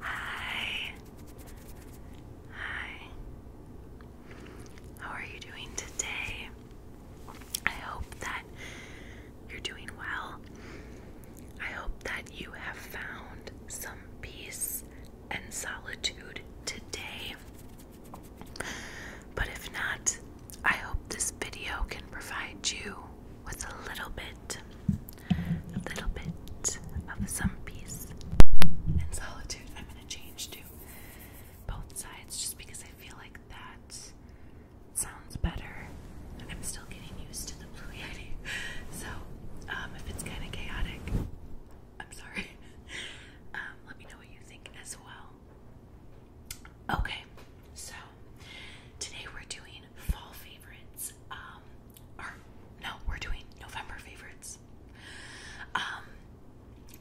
Hi. Hi. How are you doing today? I hope that you're doing well. I hope that you have found some peace and solitude today. But if not, I hope this video can provide you with a little bit, a little bit of some peace and solitude. I'm going to change to both sides just because I feel like that sounds better. I'm still getting used to the Blue Yeti, so um, if it's kind of chaotic, I'm sorry. Um, let me know what you think as well. Okay, so today we're doing fall favorites. Um, no, we're doing November favorites. Um,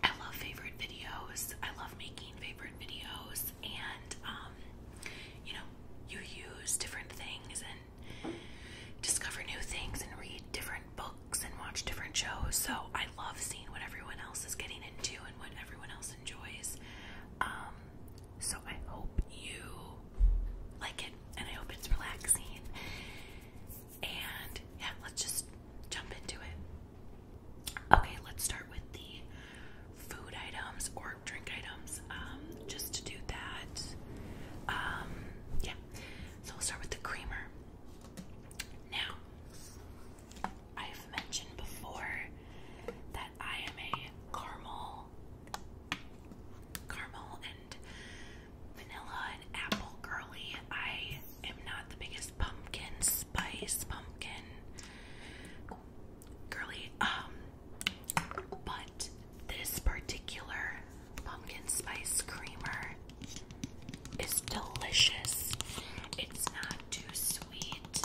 I love favorite videos. I love making favorite videos, and um, you know, you use different things and discover new things and read different books and watch different shows. So I love seeing what everyone else is getting into and what everyone else enjoys. So I hope you like it and I hope it's relaxing. And yeah, let's just jump into it. Okay, let's start with the food items or drink items. Um, just to do that, um, yeah. So we'll start with the creamer. Now, I've mentioned before that I am a caramel, caramel and vanilla and apple girly. I am not the biggest pumpkin spice, pumpkin girly. Um, but this particular pumpkin spice creamer is delicious. It's not too sweet,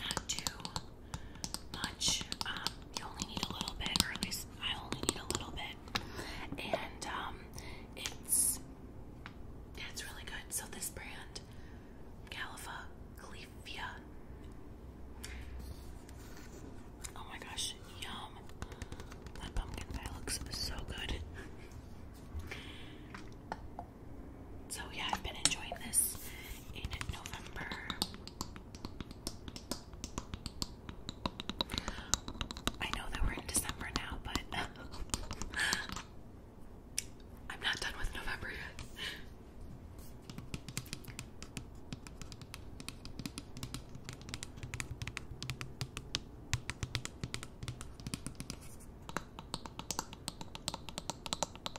not too much. Um, you only need a little bit, or at least I only need a little bit. And um, it's it's really good. So this brand, Califa Califia. Oh my gosh, yum! That pumpkin pie looks so good. So yeah, I've been enjoying this in November. I know that we're in December now, but I'm not done with November yet.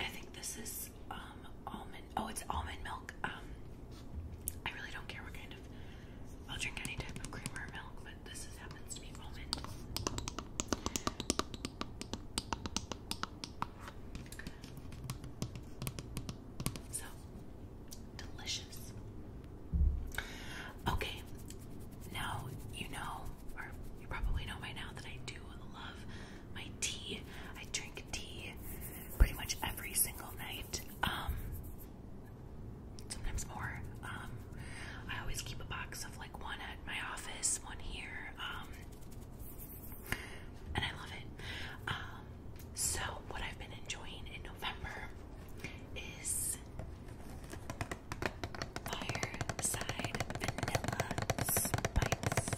I think this is um almond. Oh, it's almond milk. Um, I really don't care what kind of. I'll drink any type of cream or milk, but this happens to be almond. So delicious. Okay, now you know you probably know by now that I do love my tea. I drink tea pretty much every single night. Um, sometimes more. Um, I always keep a box of like one at my office, one here. Um, and I love it. so what I've been enjoying in November is Fireside Vanilla Spice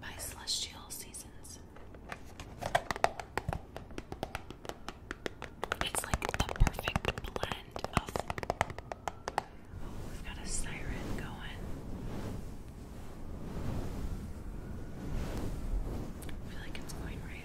by Celestial Seasons. It's like the perfect blend of. Oh, we've got a siren going. I feel like it's going right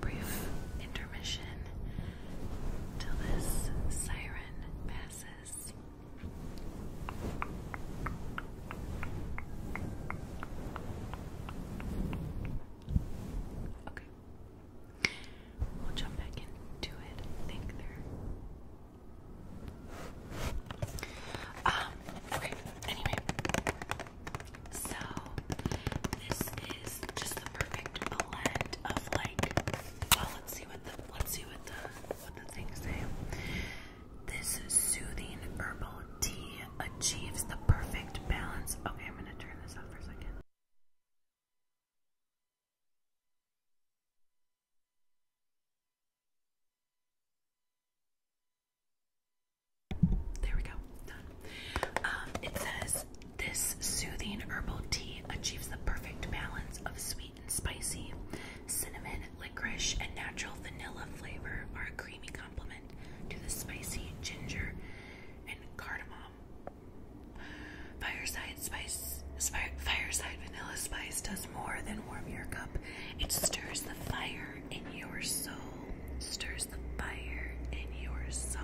Brief intermission till this siren passes. Okay. We'll jump back into it. I think there. Um, okay. Anyway. So this is just the perfect blend of like well let's see what the let's see what the what the things say. This soothing herbal tea achieves the perfect balance. Okay, I'm gonna turn this off for a second. There we go. Done. Um, it says this soothing herbal tea achieves the perfect balance of sweet and spicy. Cinnamon, licorice, and natural vanilla flavor are a creamy complement to the spicy ginger and cardamom. Fireside spice, fireside vanilla spice does more than warm your cup. It stirs the fire in your soul, stirs the fire in your soul.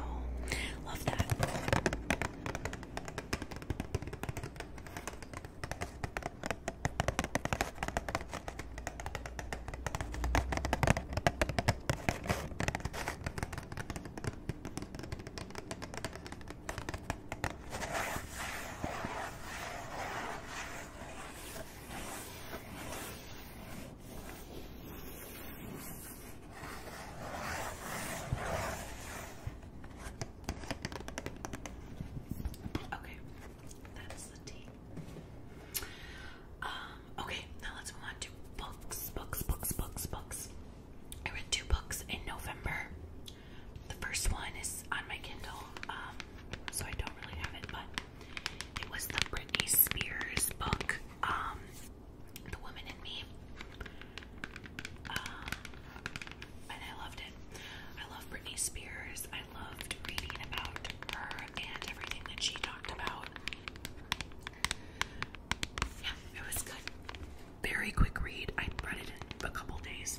Love that. Okay, that's the tea. Um, okay, now let's move on to books, books, books, books, books. I read two books in November. The first one is on my Kindle, um, so I don't really have it, but it was the Britney Spears book, um, The Woman in Me. Um, and I loved it. I love Britney Spears. I loved reading about her and everything that she talked about. Yeah, it was good. Very quick read. I read it in a couple days.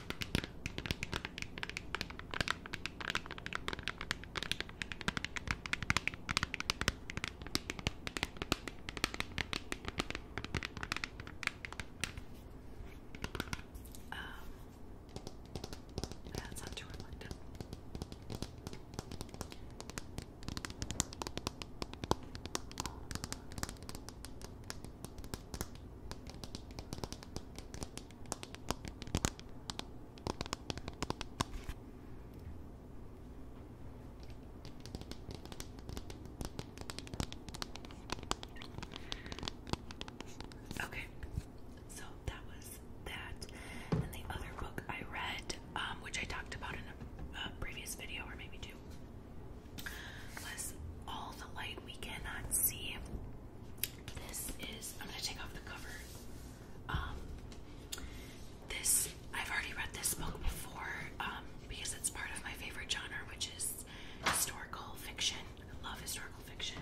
Um, that's not too reflective. Okay, so that was that. And the other book I read, um, which I talked about in a previous video or maybe two, was All the Light We Cannot See this is I'm gonna take off the cover. Um, this I've already read this book before um, because it's part of my favorite genre, which is historical fiction. I love historical fiction,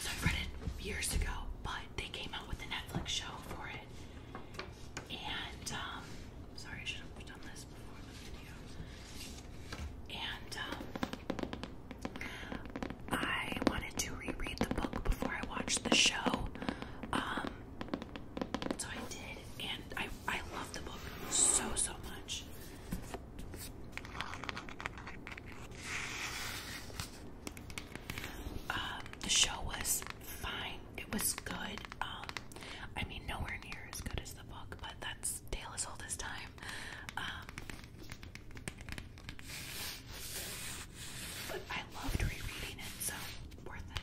so I've read it years ago. But they came out with a Netflix show for it, and um, sorry, I should have done this and um, I wanted to reread the book before I watched the show. Um, so I did, and I, I love the book so, so much. Um, the show was fine. It was good. I mean, nowhere near as good as the book, but that's its tail this this time. Um, but I loved rereading it, so worth it.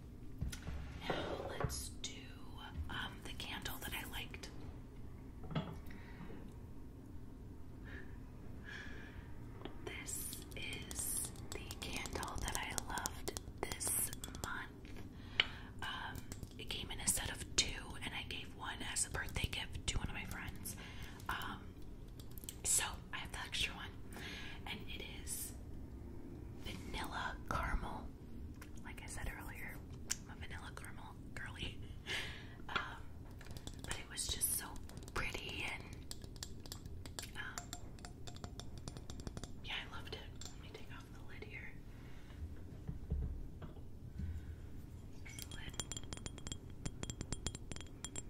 now let's do um, the candle that I liked. This is the candle that I loved this month. Um, it came in a set of two, and I gave one as a birthday gift to one of my friends. Um, so I have the extra one, and it is vanilla caramel. Like I said earlier, i vanilla caramel girly. Um, but it was just so pretty, and um, yeah, I loved it. Let me take off the lid here.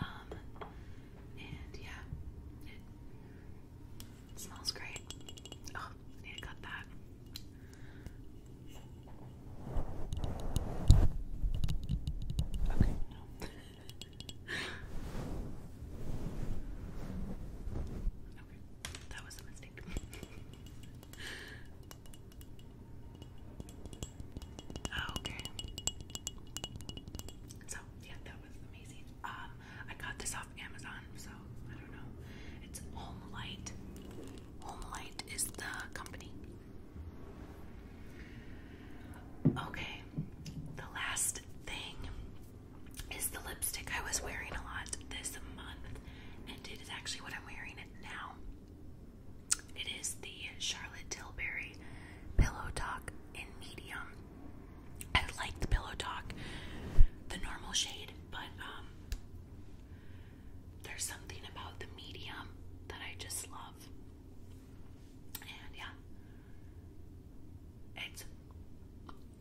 Um, and yeah, it, smells great. Oh, need to cut that. Okay, no. okay, that was a mistake. Oh, okay. So yeah, that was amazing. Um, I got this off Amazon, so I don't know. It's Home Light. Home Light is the company. Okay, the last thing is the lipstick I was wearing a lot this month, and it is actually what I'm wearing now. It is the Charlotte Tilbury Pillow Talk in medium. I like the Pillow Talk, the normal shade, but um, there's something about the medium that I just love. And yeah, it's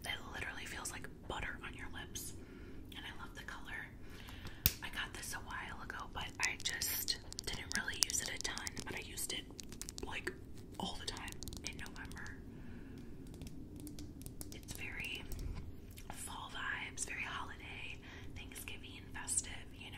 it literally feels like butter on your lips, and I love the color. I got this a while ago, but I just didn't really use it a ton, but I used it like all the time in November. It's very fall vibes, very holiday, Thanksgiving, festive, you know.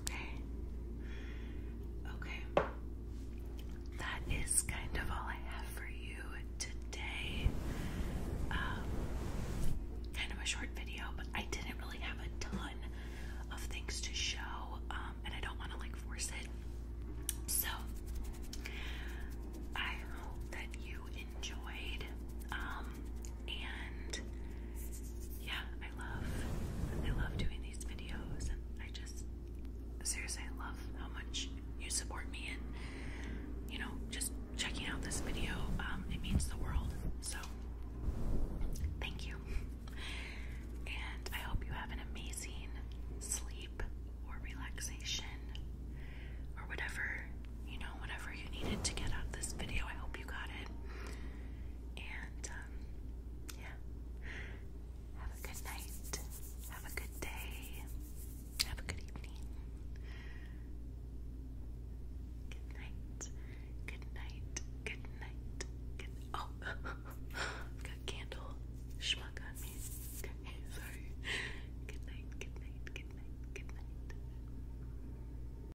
Okay. Okay. That is kind of all I have for you today. Um, kind of a short video, but I didn't really have a ton of things to show, um, and I don't want to like force it. So, I hope that you enjoyed. Um, um, and yeah, I love I love doing these videos and I just seriously love how much you support me and you know, just checking out this video. Um, it means the world. So thank you. And I hope you have an amazing sleep or relaxation or whatever, you know, whatever you needed to get out this video. I hope you got it. And um, yeah, have a good night, have a good day, have a good evening. Good night, good night, good night, good Oh, got candle schmuck on me. sorry. Good night, good night, good night, good night.